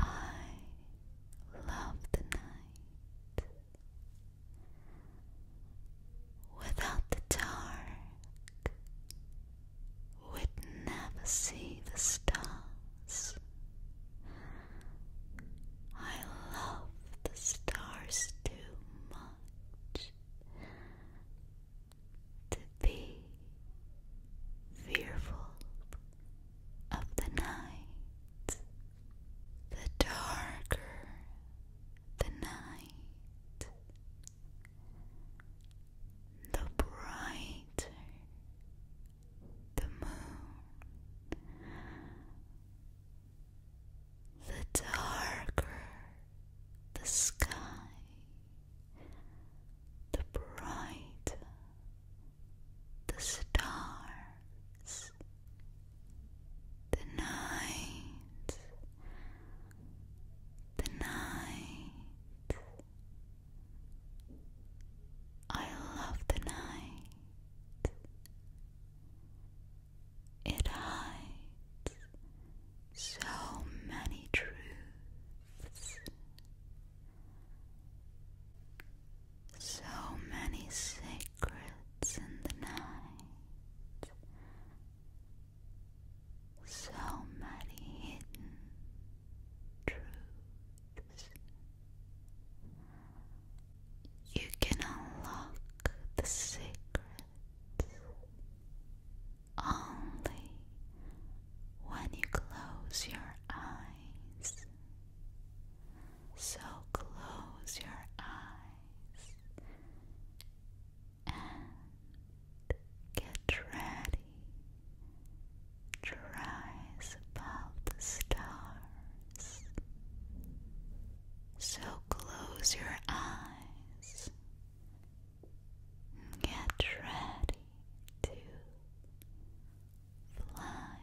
I love the night. Without the dark, we'd never see the stars. I love the stars too much to be fearful of the night. The darker the night, the brighter the moon. The darker the sky, the brighter the stars, the night, the night. I love the night. It hides so many truths. So many secrets in the night, so many hidden truths. You can unlock the secrets only when you close your eyes. So close your eyes and get ready. To rise above the stars. So close your eyes get ready to fly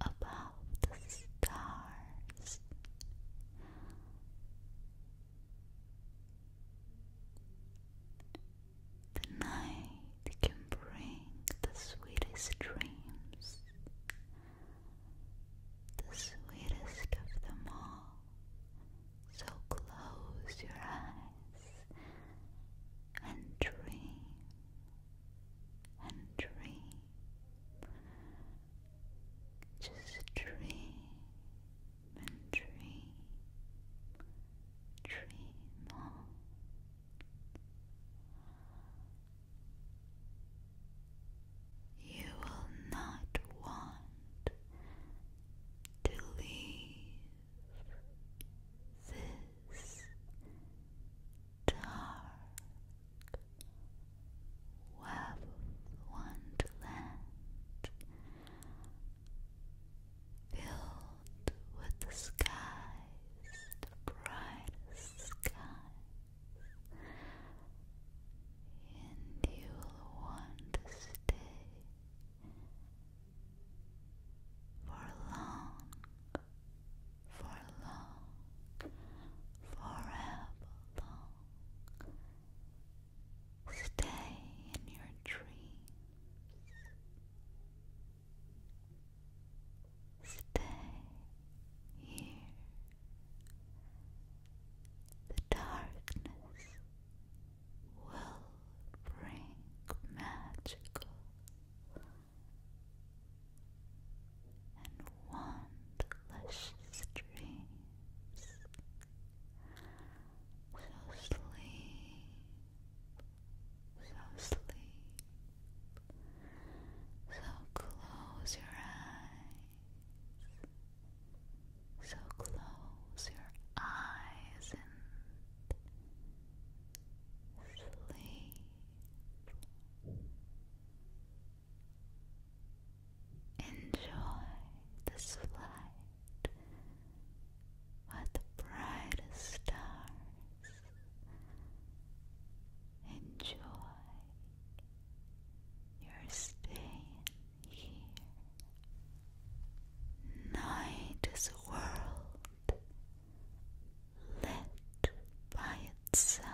above the stars. The night can bring the sweetest dreams, the sweetest of them all. So close your eyes and dream and dream. Just dream and dream. Dream on. You will not want to leave this dark web of filled with the skies, the brightest skies, and you will want to stay for long, for long, forever long. Stay in your dreams. Stay here. The darkness will bring magical and wondrous dreams. So sleep, so sleep, so close your eyes, so close your eyes and sleep enjoy the flight with the brightest stars enjoy your stay here Night is a world lit by itself.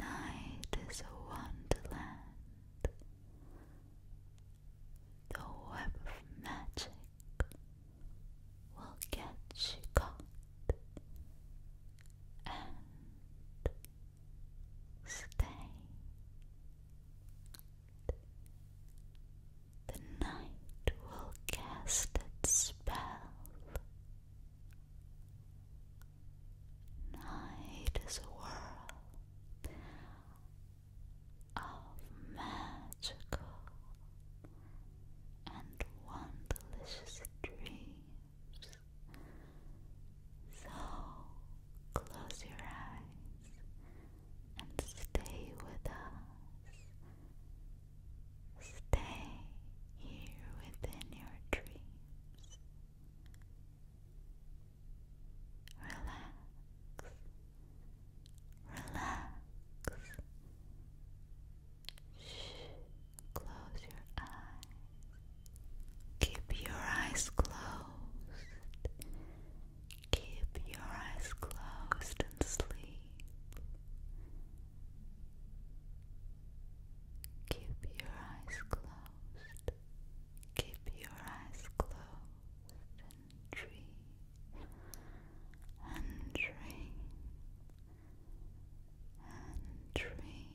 Night is a wonderland. The web of magic will get you caught and stay the night will cast its spell. Night is a world of magical and one dreams so close your eyes and stay with us. Stay here within your dreams. Relax. Relax. Shh. Close your eyes. Keep your eyes closed. Keep your eyes closed and sleep. Keep your eyes closed. Keep your eyes closed and dream. And dream. And dream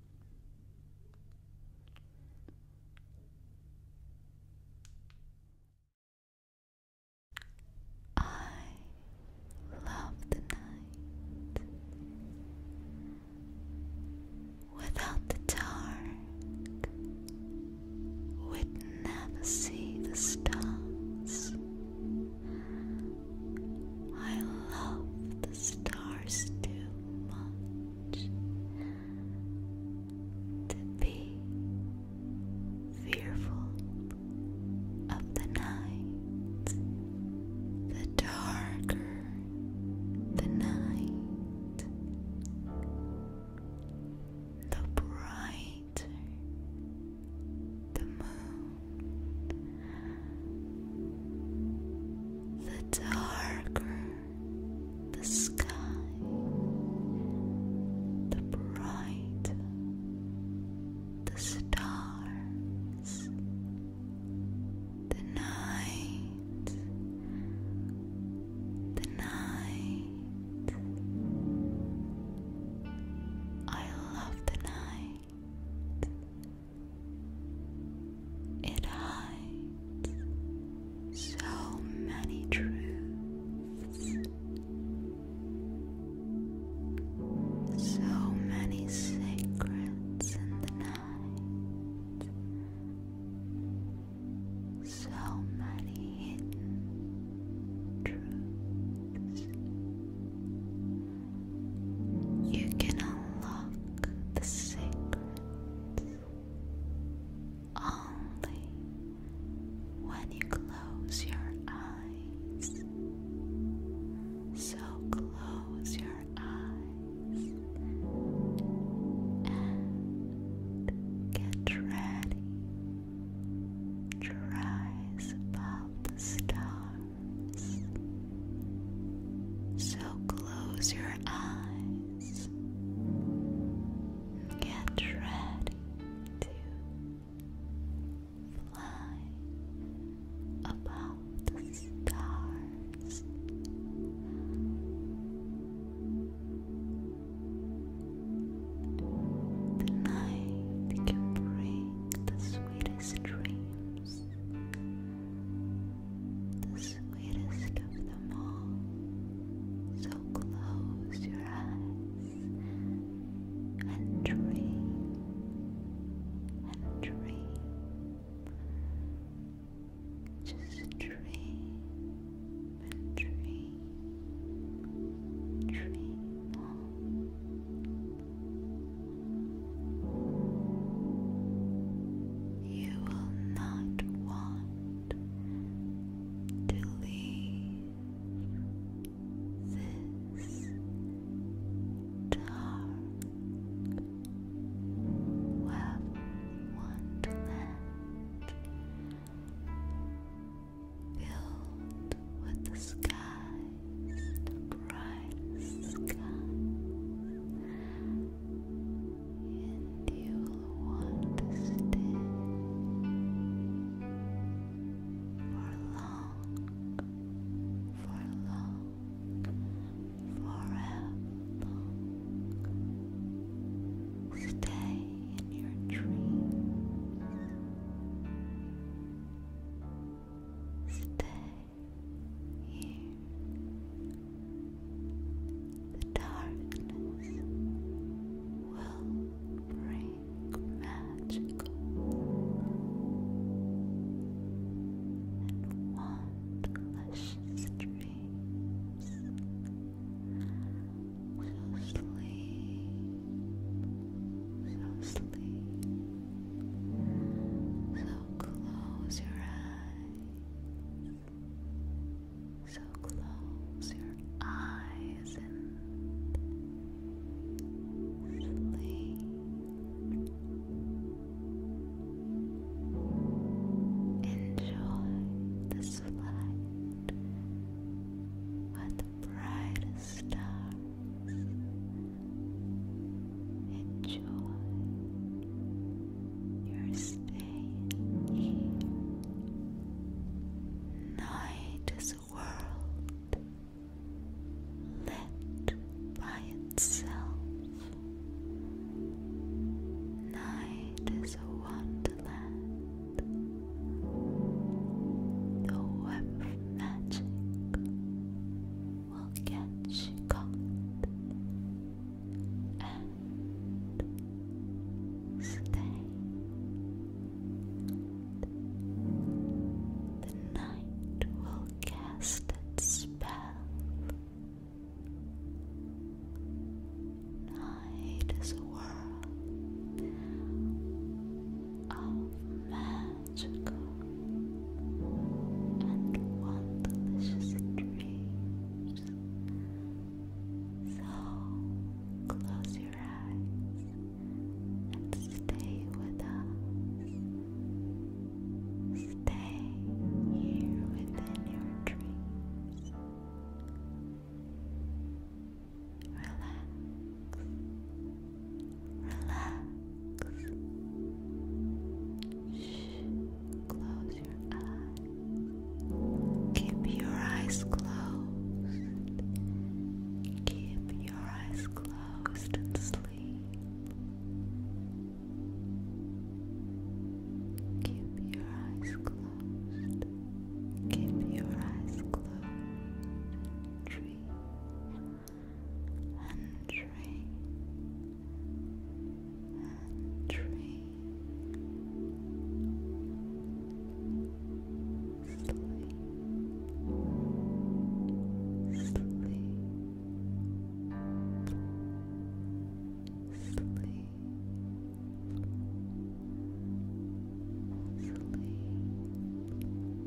I love the night without the dark. We'd never see the stars. I love the stars too much to be fearful of the night. The darker the night, the brighter the moon. The darker the sky, the brighter the stars, the night, the night. I love the night. It hides so many truths, so many secrets in the night, so many hidden truths. You can unlock the secrets only when you close your eyes. So close your eyes and get ready to rise above the stars. So close your eyes. Get ready to fly above the stars. The night can bring the sweetest dreams. The sweetest of them all. So close your eyes and dream and dream. Just dream and dream. Dream on. You will not want to leave this dark, web wonderland with the sky the bright skies, and you'll want to stay for long, for long, forever long. Stay in your dreams. Stay here, the darkness will bring magical and wondrous dreams. So sleep, so sleep. So close your eyes. So close your eyes and sleep. Enjoy this flight with the brightest stars. Enjoy your stay Night is a world lit by itself. Night is a wonderland, the web of magic will get you caught and stay. The night will cast its spell. Night is a world of man magical and one delicious dreams. So close your eyes and stay with us. Stay here within your dreams. Relax. Relax. Shh. Close your eyes. Keep your eyes closed. Keep your eyes closed and sleep. Keep your eyes closed. Keep your eyes closed. Dream and tree and tree sleep Sleep. Sleep. Sleep.